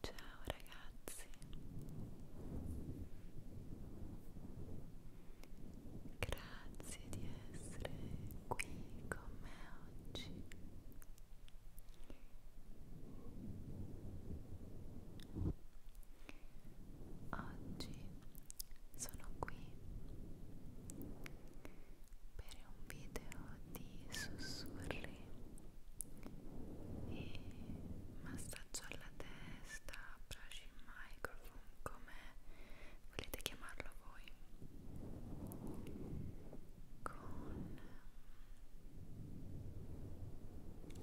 Ciao ragazzi, grazie di essere qui con me oggi. Oggi sono qui per un video di sussurri e massaggio alla testa, brush in microphone, come volete chiamarlo voi con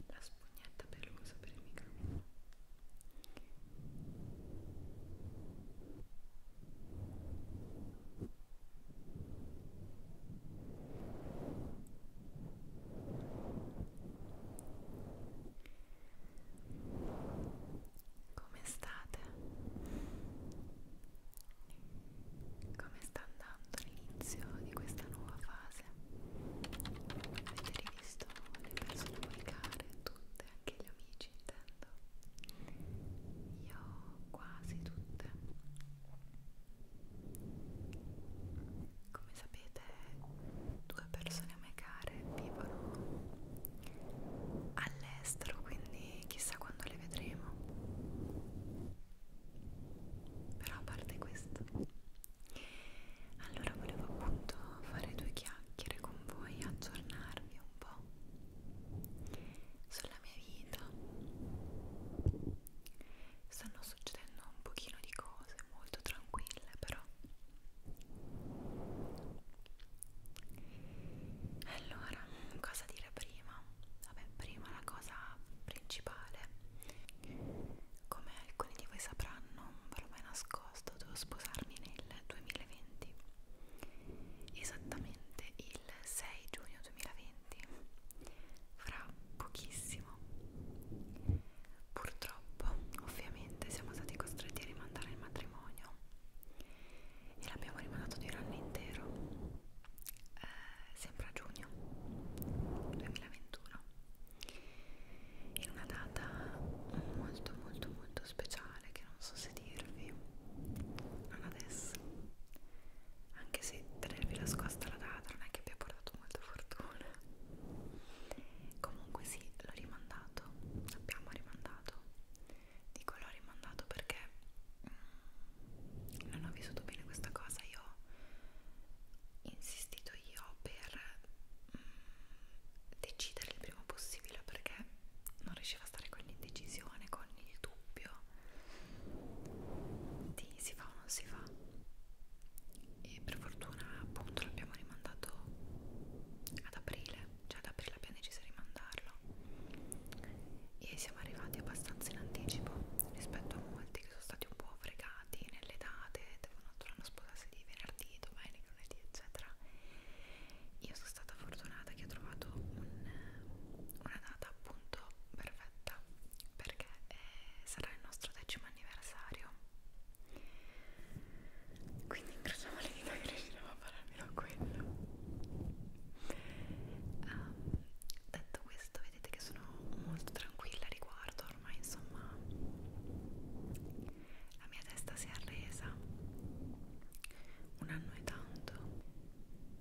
la spugnetta pelosa per il microfono come state? Come sta andando l'inizio di questa nuova fase? Avete rivisto le persone poi care, tutte, anche gli amici intendo? io ho quasi tutte come sapete due persone a me care vivono all'estero quindi chissà quando le vedremo però a parte questo allora volevo appunto fare due chiacchiere con voi aggiornarvi un po' della mia vita stanno succedendo un pochino di cose molto tranquille però allora cosa dire prima vabbè prima la cosa principale come alcuni di voi sapranno ve l'ho mai nascosto devo sposarmi nel 2020 esattamente il il 6 giugno 2020, fra pochissimo. Purtroppo, ovviamente, siamo stati costretti a rimandare il matrimonio e l'abbiamo rimandato di un anno intero, eh, sempre a giugno 2021, in una data molto molto molto speciale speciale che non so se dirvi non adesso anche se tenervi nascosta la data non è che abbia portato molta fortuna comunque sì l'ho rimandato abbiamo rimandato dico l'ho rimandato perché mm, non ho vissuto bene questa cosa io ho insistito io per mm, decidere il prima possibile perché non riusciva stare con l'indecisione, con il dubbio di si fa o non si fa e per fortuna appunto l'abbiamo rimandato ad aprile cioè ad aprile abbiamo deciso di rimandarlo e siamo arrivati abbastanza in anticipo rispetto a molti che sono stati un po' fregati nelle date devono trovare sposarsi di venerdì, domenica, lunedì eccetera io sono stata fortunata che ho trovato un, una data appunto perfetta perché eh, sarà il nostro decimo anniversario quindi incrociamo le dita che riusciremo a fare almeno quello um, detto questo vedete che sono molto tranquilla a riguardo ormai insomma la mia testa si è arresa un anno e tanto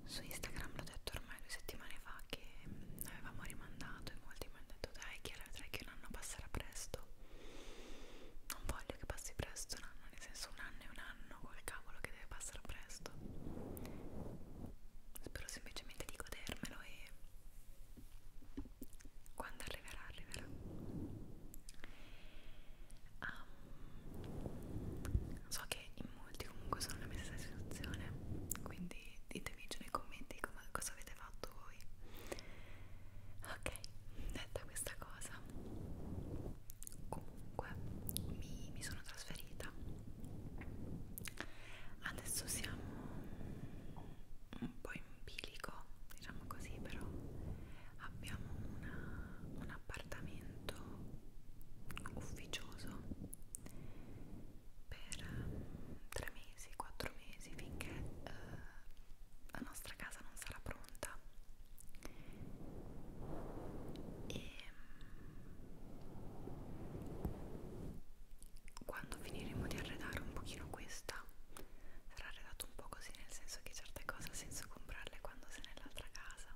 su Instagram l'ho detto ormai due settimane fa che mm, avevamo rimandato e molti mi hanno detto dai Chiara vedrai che un anno passerà presto non voglio che passi presto un anno nel senso un anno è un anno col cavolo che deve passare presto spero semplicemente di godermelo e quando arriverà arriverà um, so che in molti comunque sono nella mia stessa situazione quindi ditemi giù nei commenti com cosa avete fatto voi ok detta questa cosa comunque mi, mi sono trasferita adesso siamo un po' in bilico diciamo così però abbiamo una, un appartamento ufficioso per um, tre mesi, quattro mesi finché uh, la nostra casa non sarà pronta e mm, quando finiremo di arredare un pochino questa sarà arredato un po' così nel senso che certe cose ha senso comprarle quando sei nell'altra casa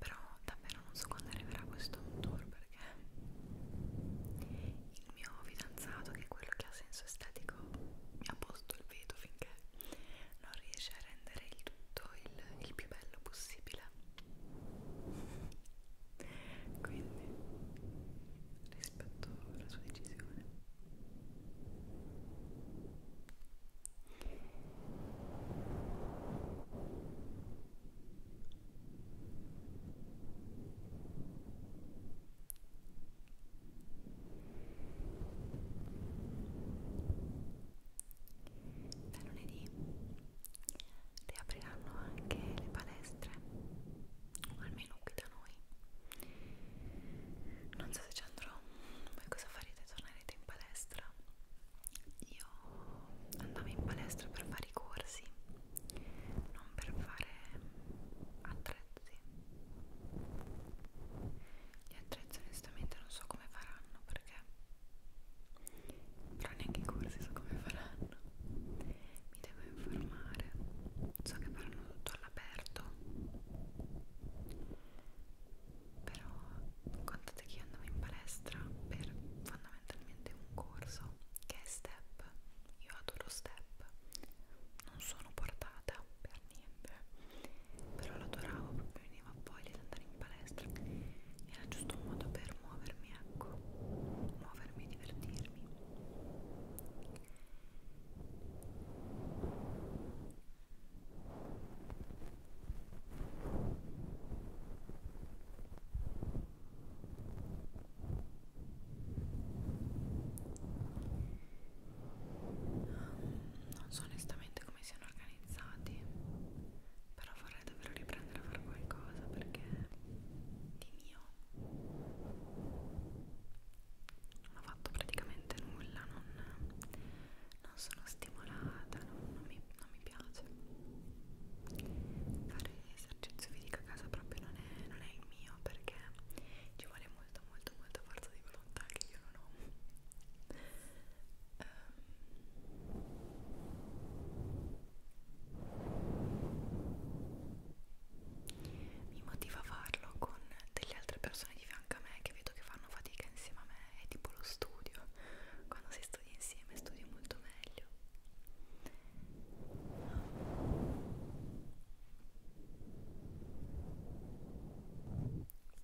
però davvero non so quando arriverà questo home tour perché il mio fidanzato che è quello che ha senso estetico mi ha posto il veto finché non riesce a rendere il tutto il, il più bello possibile quindi rispetto alla sua decisione da lunedì riapriranno anche le palestre, o almeno qui da noi. Non so se ci andrò voi cosa farete? Tornerete in palestra? Io andavo in palestra per fare i corsi, non per fare attrezzi. Gli attrezzi onestamente non so come faranno perché però neanche i corsi so come faranno. Mi devo informare. So che faranno tutto all'aperto però contate che io andavo in palestra per fondamentalmente un corso che è step io adoro step non sono portata per niente però lo adoravo proprio veniva voglia di andare in palestra era giusto un modo per muovermi ecco muovermi e divertirmi non so onestamente come siano organizzati, però vorrei davvero riprendere a fare qualcosa perché di mio non ho fatto praticamente assolutamente nulla, non, non sono stimolata, non, non, mi, non mi piace. Fare esercizio fisico a casa proprio non è, non è il mio perché ci vuole molto molto molta forza di volontà che io non ho. Ehm, mi motiva a farlo con delle altre persone di fianco a me che vedo che fanno fatica insieme a me è tipo lo studio, quando si studia insieme studio molto meglio.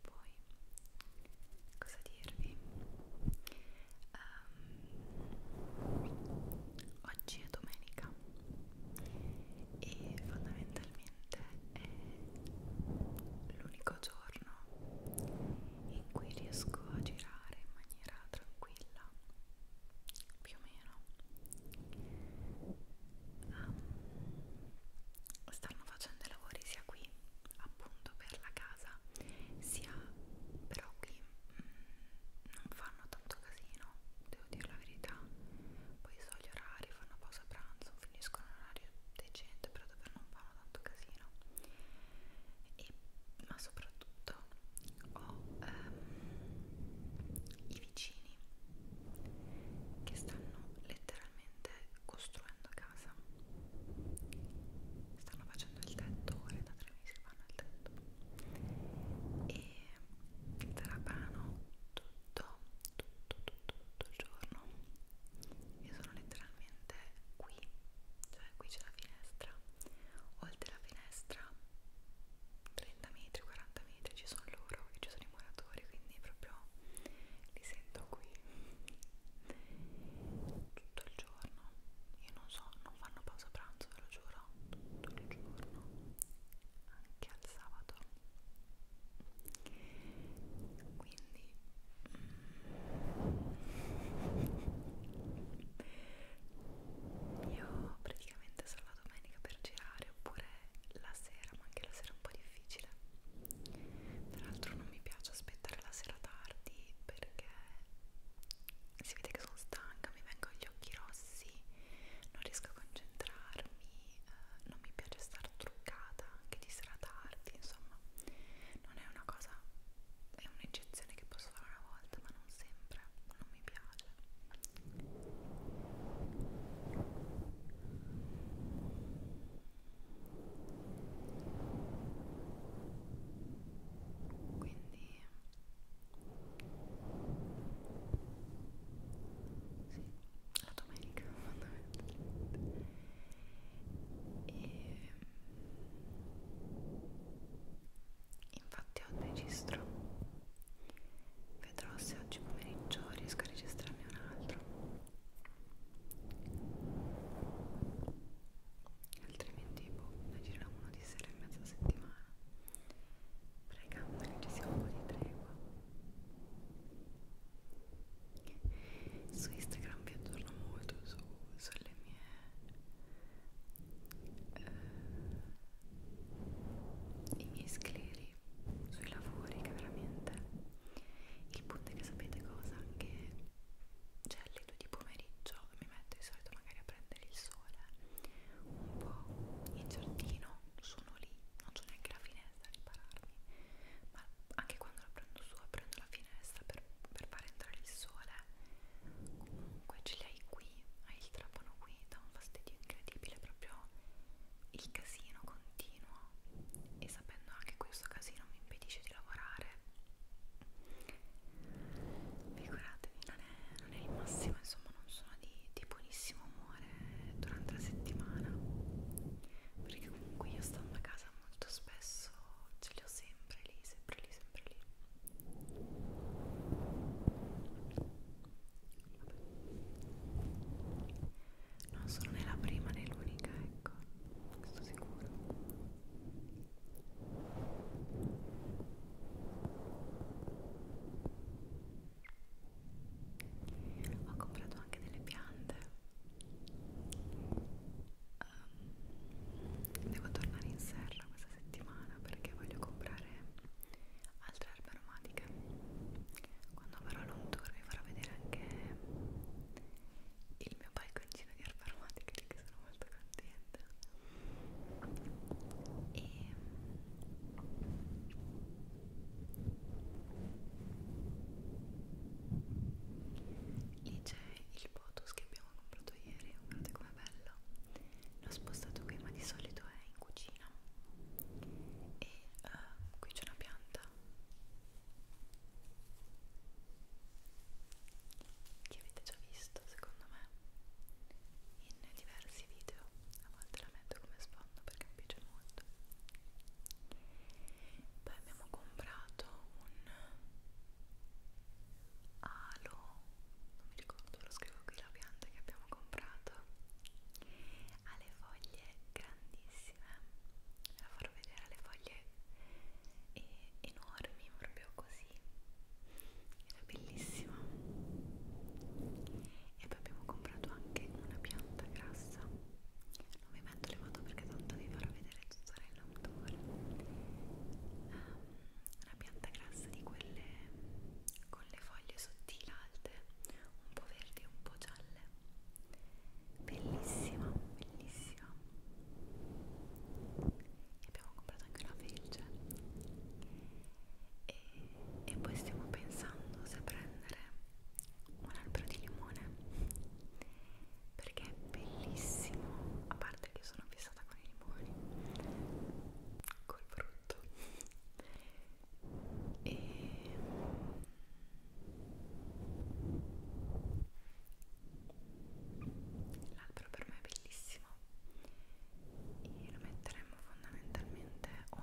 Poi, cosa dirvi? Um, oggi è domenica e fondamentalmente fondamentalmente è l'unico giorno in cui riesco a girare in maniera tranquilla più o meno um, stanno facendo i lavori sia qui appunto per la casa sia però qui mh, mm, non fanno tanto casino devo dire la verità poi so gli orari fanno poco pausa pranzo, finiscono un orario decente però davvero non fanno tanto casino e, ma soprattutto ho ehm, i vicini che stanno letteralmente costruendo casa stanno facendo il tetto ora da tre mesi fanno il tetto e trapano tutto tutto, tutto, tutto, tutto il giorno io sono letteralmente qui, cioè qui c'è la finestra, oltre la finestra 30 metri, 40 metri ci sono loro e ci sono i muratori, quindi proprio li sento qui tutto il giorno, io non so, non fanno pausa pranzo, ve lo giuro, tutto il giorno, anche al sabato quindi io praticamente sono la domenica per girare oppure la sera ma anche la sera è un po' difficile tra l'altro non mi piace aspettare la sera tardi perché si vede che sono stanca mi vengono gli occhi rossi non riesco a concentrarmi eh, non mi piace star truccata anche di sera tardi, insomma non è una cosa, è un'eccezione che posso fare una volta ma non sempre, non mi piace quindi sì la domenica fondamentalmente e infatti oggi registro vedrò se oggi pomeriggio riesco a registrarne un altro altrimenti boh, ne giriamo uno di sera e mezza settimana pregando che ci sia un po' di tregua su Instagram vi aggiorno molto su, sulle mie eh, i miei scleri sui lavori che veramente il punto è che sapete cosa che cioè alle 2 di pomeriggio mi metto di solito magari a prendere il sole un po' in giardino sono lì non c'è neanche la finestra a ripararmi ma anche quando la prendo su aprendo la finestra per, per far entrare il sole comunque ce li hai qui hai il trapano qui dà un fastidio incredibile proprio il casino continuo e sapendo anche questo casino mi impedisce di lavorare figuratevi non è, non è il massimo insomma non sono di, di buonissimo umore fare durante la settimana perché comunque io stando a casa molto spesso ce li ho sempre lì, sempre lì, sempre lì Vabbè. non sono né la prima né l'unica ecco, questo sicuro ho comprato anche delle piante um, devo tornare in serra questa settimana perché voglio comprare altre erbe aromatiche quando farò un tour vi farò vedere anche il mio balconcino di erbe aromatiche di cui sono molto contenta e Lì c'è il potus che abbiamo comprato ieri, guardate com'è bello. L'ho spostato qui, ma di solito è in cucina. E uh, qui c'è una pianta che avete già visto, secondo me, in diversi video. A volte la metto come sfondo perché mi piace molto comprato poi abbiamo comprato un alo non mi ricordo lo scrivo qui la pianta che abbiamo comprato ha le foglie grandissime la farò vedere le foglie e enormi proprio così era bellissima e poi abbiamo comprato anche una pianta grassa non vi metto le foto perché tanto vi farò vedere tutto nell'autore um, una pianta grassa di quelle con le foglie sottili alte un po' verdi e un po' gialle bellissima bellissima e abbiamo comprato anche una felce e, e poi stiamo pensando se prendere un albero di limone perché è bellissimo a parte che sono fissata con i limoni col frutto e l'albero per me è bellissimo e lo metteremmo fondamentalmente o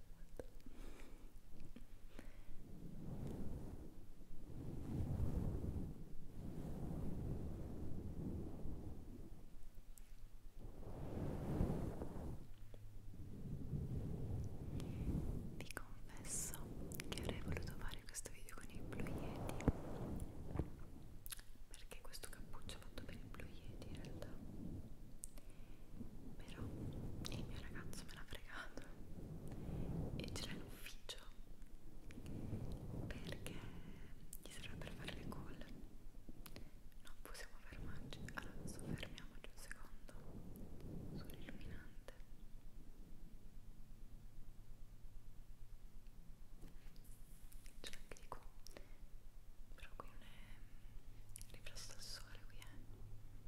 Vi confesso che avrei voluto fare questo video con il Blue Yeti perché questo cappuccio fatto per il Blue Yeti in realtà però il mio ragazzo me l'ha fregato e ce l'ha in ufficio perché gli serve per fare le call non possiamo fermarci allora adesso fermiamoci un secondo sull'illuminante ce l'ha anche di qua però qui non è riflesso al sole qui è eh?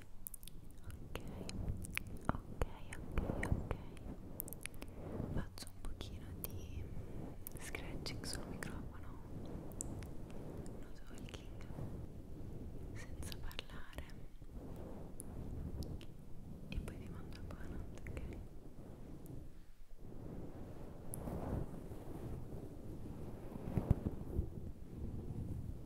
ok, ok, ok. Faccio un pochino di scratching sul microfono, no talking, senza parlare. E poi vi mando un po' la notte, ok? Ok,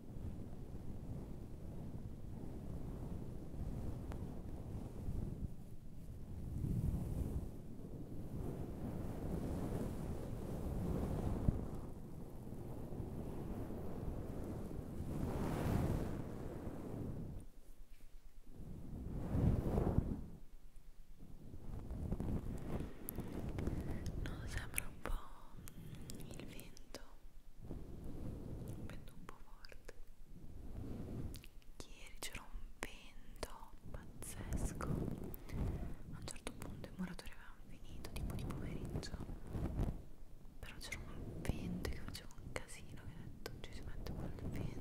non sembra un po' il vento vento un po' forte ieri c'era un vento pazzesco a un certo punto i moratori avevano finito tipo di pomeriggio però c'era un vento che faceva un casino che ho detto ci si mette quel vento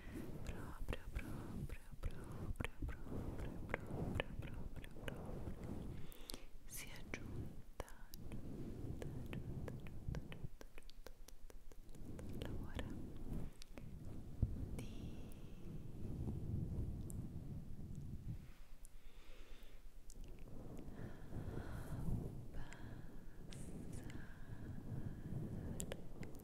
proprio proprio proprio proprio proprio proprio proprio si è giunta giunta giunta giunta giunta giunta l'ora di Passare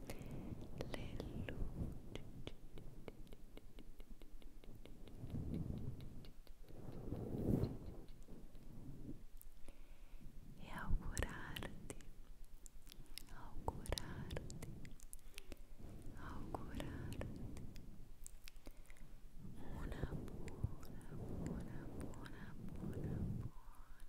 e augurarti augurarti augurarti una buona buona buona buona buona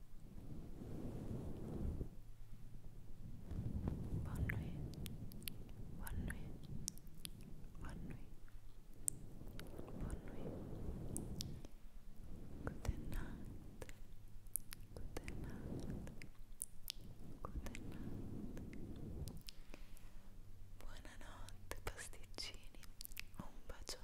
Bonne nuit. Bonne nuit. Bonne nuit. Bonne nuit. Good night. Good night. Good pasticcini. Un bacione.